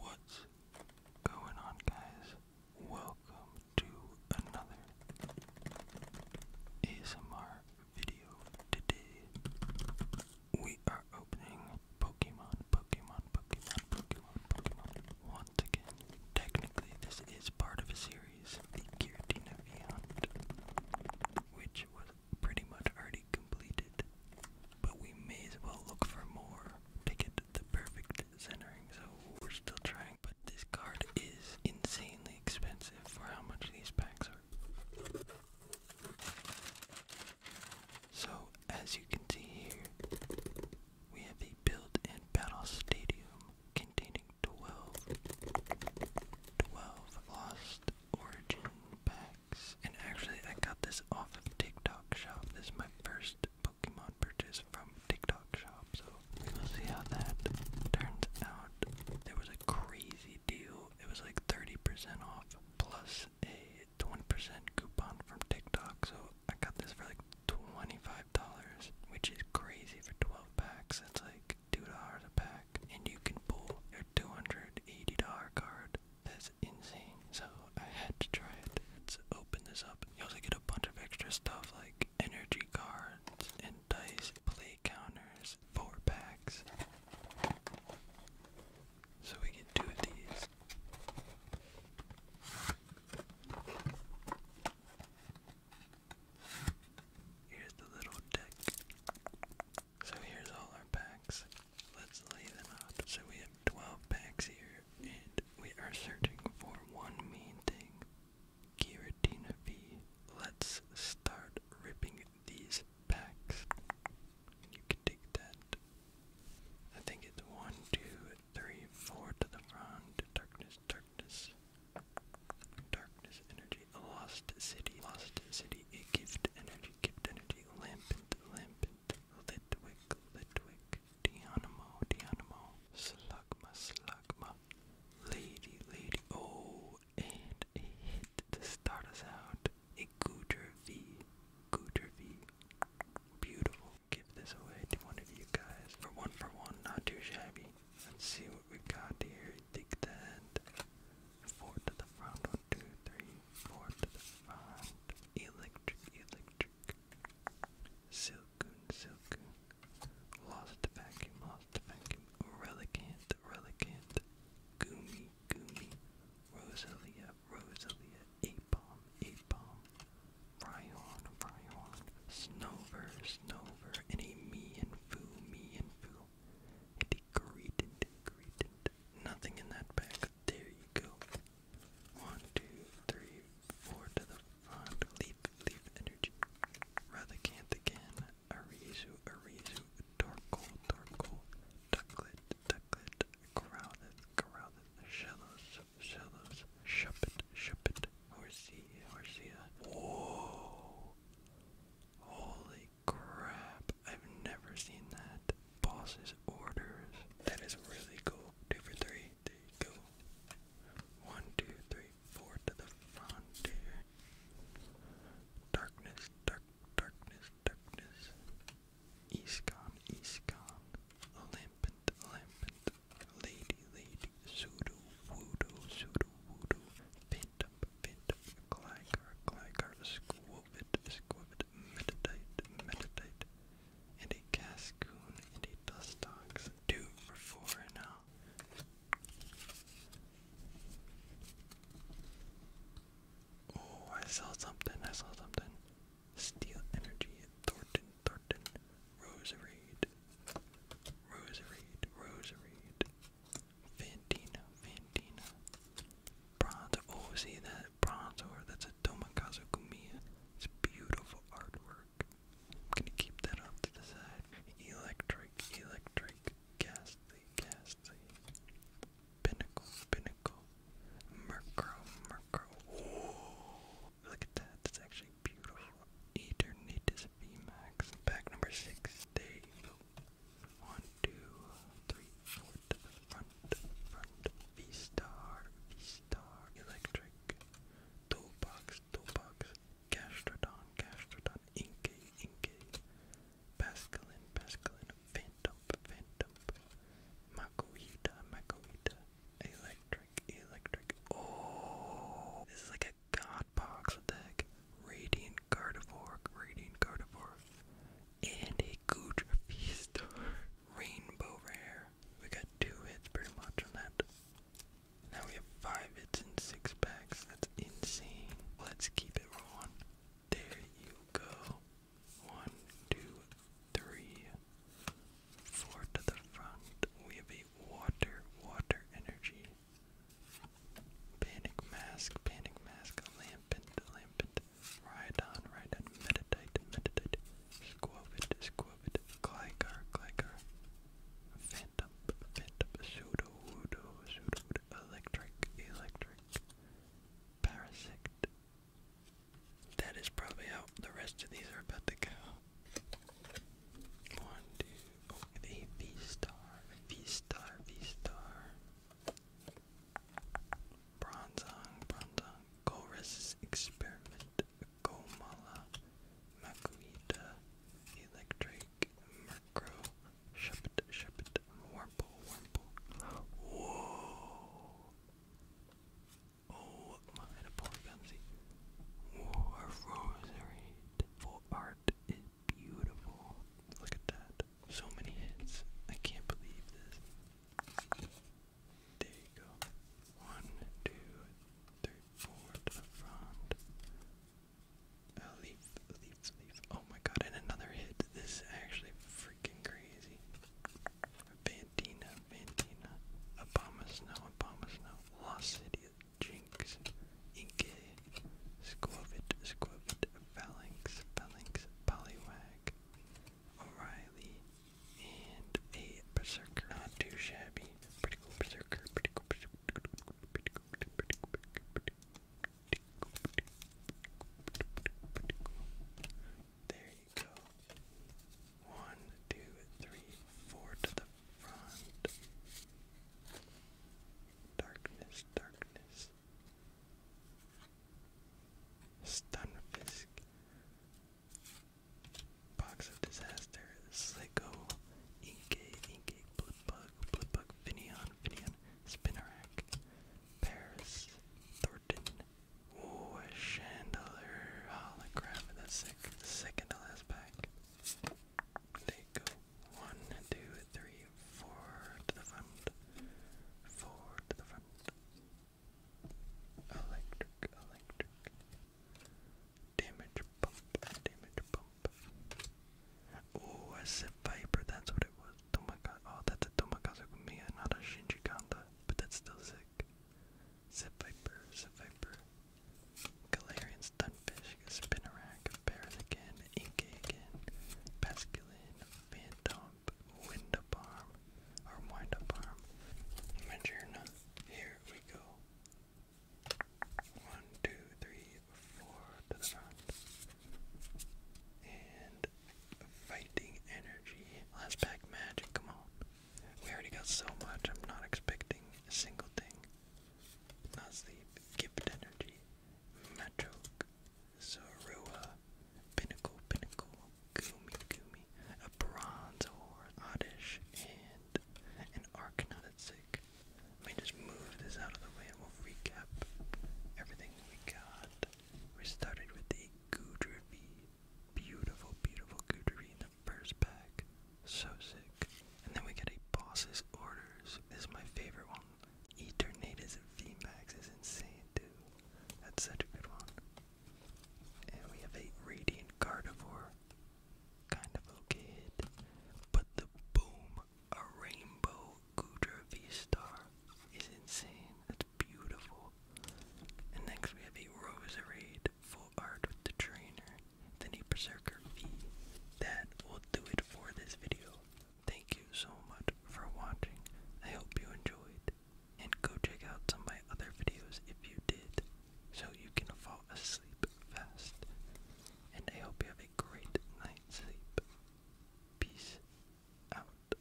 What's going on, guys? Welcome to another ASMR video. Today we are opening Pokemon, Pokemon, Pokemon, Pokemon, Pokemon. Once again, technically this is part of a series, the Giratina Beyond, which was pretty much already completed but we may as well look for more. Pick it the perfect centering, so we're still trying. But this card is insanely expensive for how much these packs are. So, as you can see here, we have a built in battle stadium containing 12, lost origin packs. And actually, I got this off of TikTok Shop. This is my first Pokemon purchase from TikTok Shop, so we'll see how that turns out. There was a crazy deal. It was like 30% off plus a 20% coupon from TikTok, so I got this for like $25, which is crazy for 12 packs. That's like $2 a pack. And you can pull your $280 card insane. So I had to try it. Let's open this up. You also get a bunch of extra stuff like energy cards and dice, play counters, four packs. So we get two of these. Here's the little deck. So here's all our packs. Let's lay them out. So we have 12 packs here, and we are searching for one main thing. V. Let's start ripping these packs. You can take that. I think it's one, two, three, four to the front. Darkness, darkness. Darkness energy energy, a lost city, lost city, a gift energy, gift energy, lampant, lampant, litwick, litwick, Dionamo, Dionamo, slugma, slugma, lady, lady, oh, and a hit to start us out, a Gooter V, Gooter V, beautiful, give this away to one of you guys, for one for one, not too shabby, let's see what we got here, dig that, four to the front, one, two, three, four to the front, electric, electric, silken, silken, lost vacuum, lost vacuum, relicant, relicant, goomy, goomy, rosalia, rosalia, apom, apom, Bryon, Bryon, Snover, Snover, and me and foo, me and foo, Degraded, degraded. Nothing in that bag. There you go. One, two, three, four to the front. Leaf, leaf energy. Rathacant again. Arizu, Arizu. Torkoal, Torkoal. Ducklet, Ducklet. Growlithe, Growlithe. Shellos, Shellos. Shuppet, Shuppet. Horsea, Horsea. Whoa! Holy crap, I've never seen that. Boss's orders. That is really cool. Two for three. There you go. One, two, three, four to the frontier. Darkness, dark, darkness, darkness. East gone, east gone. Lady, lady. Pseudo, voodoo, pseudo, voodoo. Phantom, fit, clanker, clanker, squove it, meditate, meditate, and a cascoon, and a dust two for four now. Oh, I saw something, I saw something. Steel energy, Thornton, Thornton, Rose Reed, Rose Reed, Reed, Fandina, Fandina. Bronze, oh, see that bronze ore? That's a Tomakazu Kumiya. It's beautiful artwork. I'm gonna keep that off to the side. Electric, electric, ghastly, ghastly. Pinnacle, pinnacle. Murkrow, murkrow. Oh, look at that. That's actually beautiful. Eternatus VMAX. Pack number six. They one, two, three, four front, front. V Star, V Star, Electric, Toolbox, Toolbox, Gastrodon, Gastrodon, Inkay, Inkay, Pascalin, Pascalin, Phantom, Phantom, Makuhita, Makuhita, Electric, Electric. Oh, this is like a Attack, God Box Attack, Radiant Gardevoir, Radiant Gardevoir, and a Gudra Feastar. Rainbow Rare. We got two hits pretty much on that. Now we have five hits and six packs. That's insane. Let's keep it rolling. There you go. One, two, three, four to the front. We have a water, water energy. Panic mask, panic mask, lampant, lampant, ride on, ride on, meditate, meditate, squovit, squovit, glycar, glycar, phantom, phantom, pseudo, pseudo, electric, electric, parasect. That is probably how the rest of these are about to go. One, two, oh, a V star, a V star, V star. Bronzong, Bronzong, Golrus Experiment, Gomala, Makuita, Electric, Murkrow, Shepit, Shepit, Warble, Warble. Whoa! Oh, and a polygamsy. Oh, rosary for art is beautiful. Look at that. So many hits. I can't believe this. There you go. One, two, three, four the front. A leaf, leaf, leaf. Oh my god, and another hit. This is actually freaking crazy. Vantina Mandina, Obama Snow, Obama Snow, Lost City, Jinx, Inke, Squovit, Squovit, Phalanx, Phalanx, Polywag, O'Reilly, and a Berserker. Not too shabby. Pretty cool Berserker, pretty cool Berserker. Pretty cool, pretty cool, pretty cool, pretty cool, pretty cool, pretty cool, pretty cool, pretty cool. There one, two, three, four to the front. Darkness, darkness. Stunfisk. Box of Disaster. Sligo. Inkay, Inkay, Blipbug, Blipbug, Finion, Finion, Spinnerack, Paris, Thornton, Ooh, a chandelier holograph. Oh, that's sick. Second to last pack. There you go. One, two, three, four to the front. Four to the front. Electric, electric. Damage bump, damage bump. Oh, I said Viper, that's what it was. Tomaka oh, that's a Tomakazu Kumiya, not a Shinji Kanda, but that's still sick. Seviper, Seviper, Galarian Stunfish, Spinarak, Bears again, Inky again, Pascaline, Phantom, Windup Arm, or Windup Arm, Majerna. Here we go. One, two, three, four to the front. And fighting energy. Last pack magic, come on. We already got so much, I'm not expecting a single thing. Nasleep, Gift Energy, Machoke, Zorua, Pinnacle, Pinnacle, Gumi, Gumi, a Bronze Ore, Oddish, and an Arcanine. Let me just move this out of the way and we'll recap everything we got. We started with the Goodriffy, Beautiful, beautiful Goodery in the first pack. So sick. And then we get a boss's orders. This is my favorite one. Eternatus VMAX is insane, dude. That's such a good one. And we have a Radiant Gardevoir. Kind of okay hit. But the boom, a rainbow Gudra V-Star is insane beautiful. And next we have a Roserade full art with the trainer, the knee berserker V. That will do it for this video. Thank you so much for watching. I hope you enjoyed. And go check out some of my other videos if you did, so you can fall asleep fast. And I hope you have a great night's sleep. Peace out.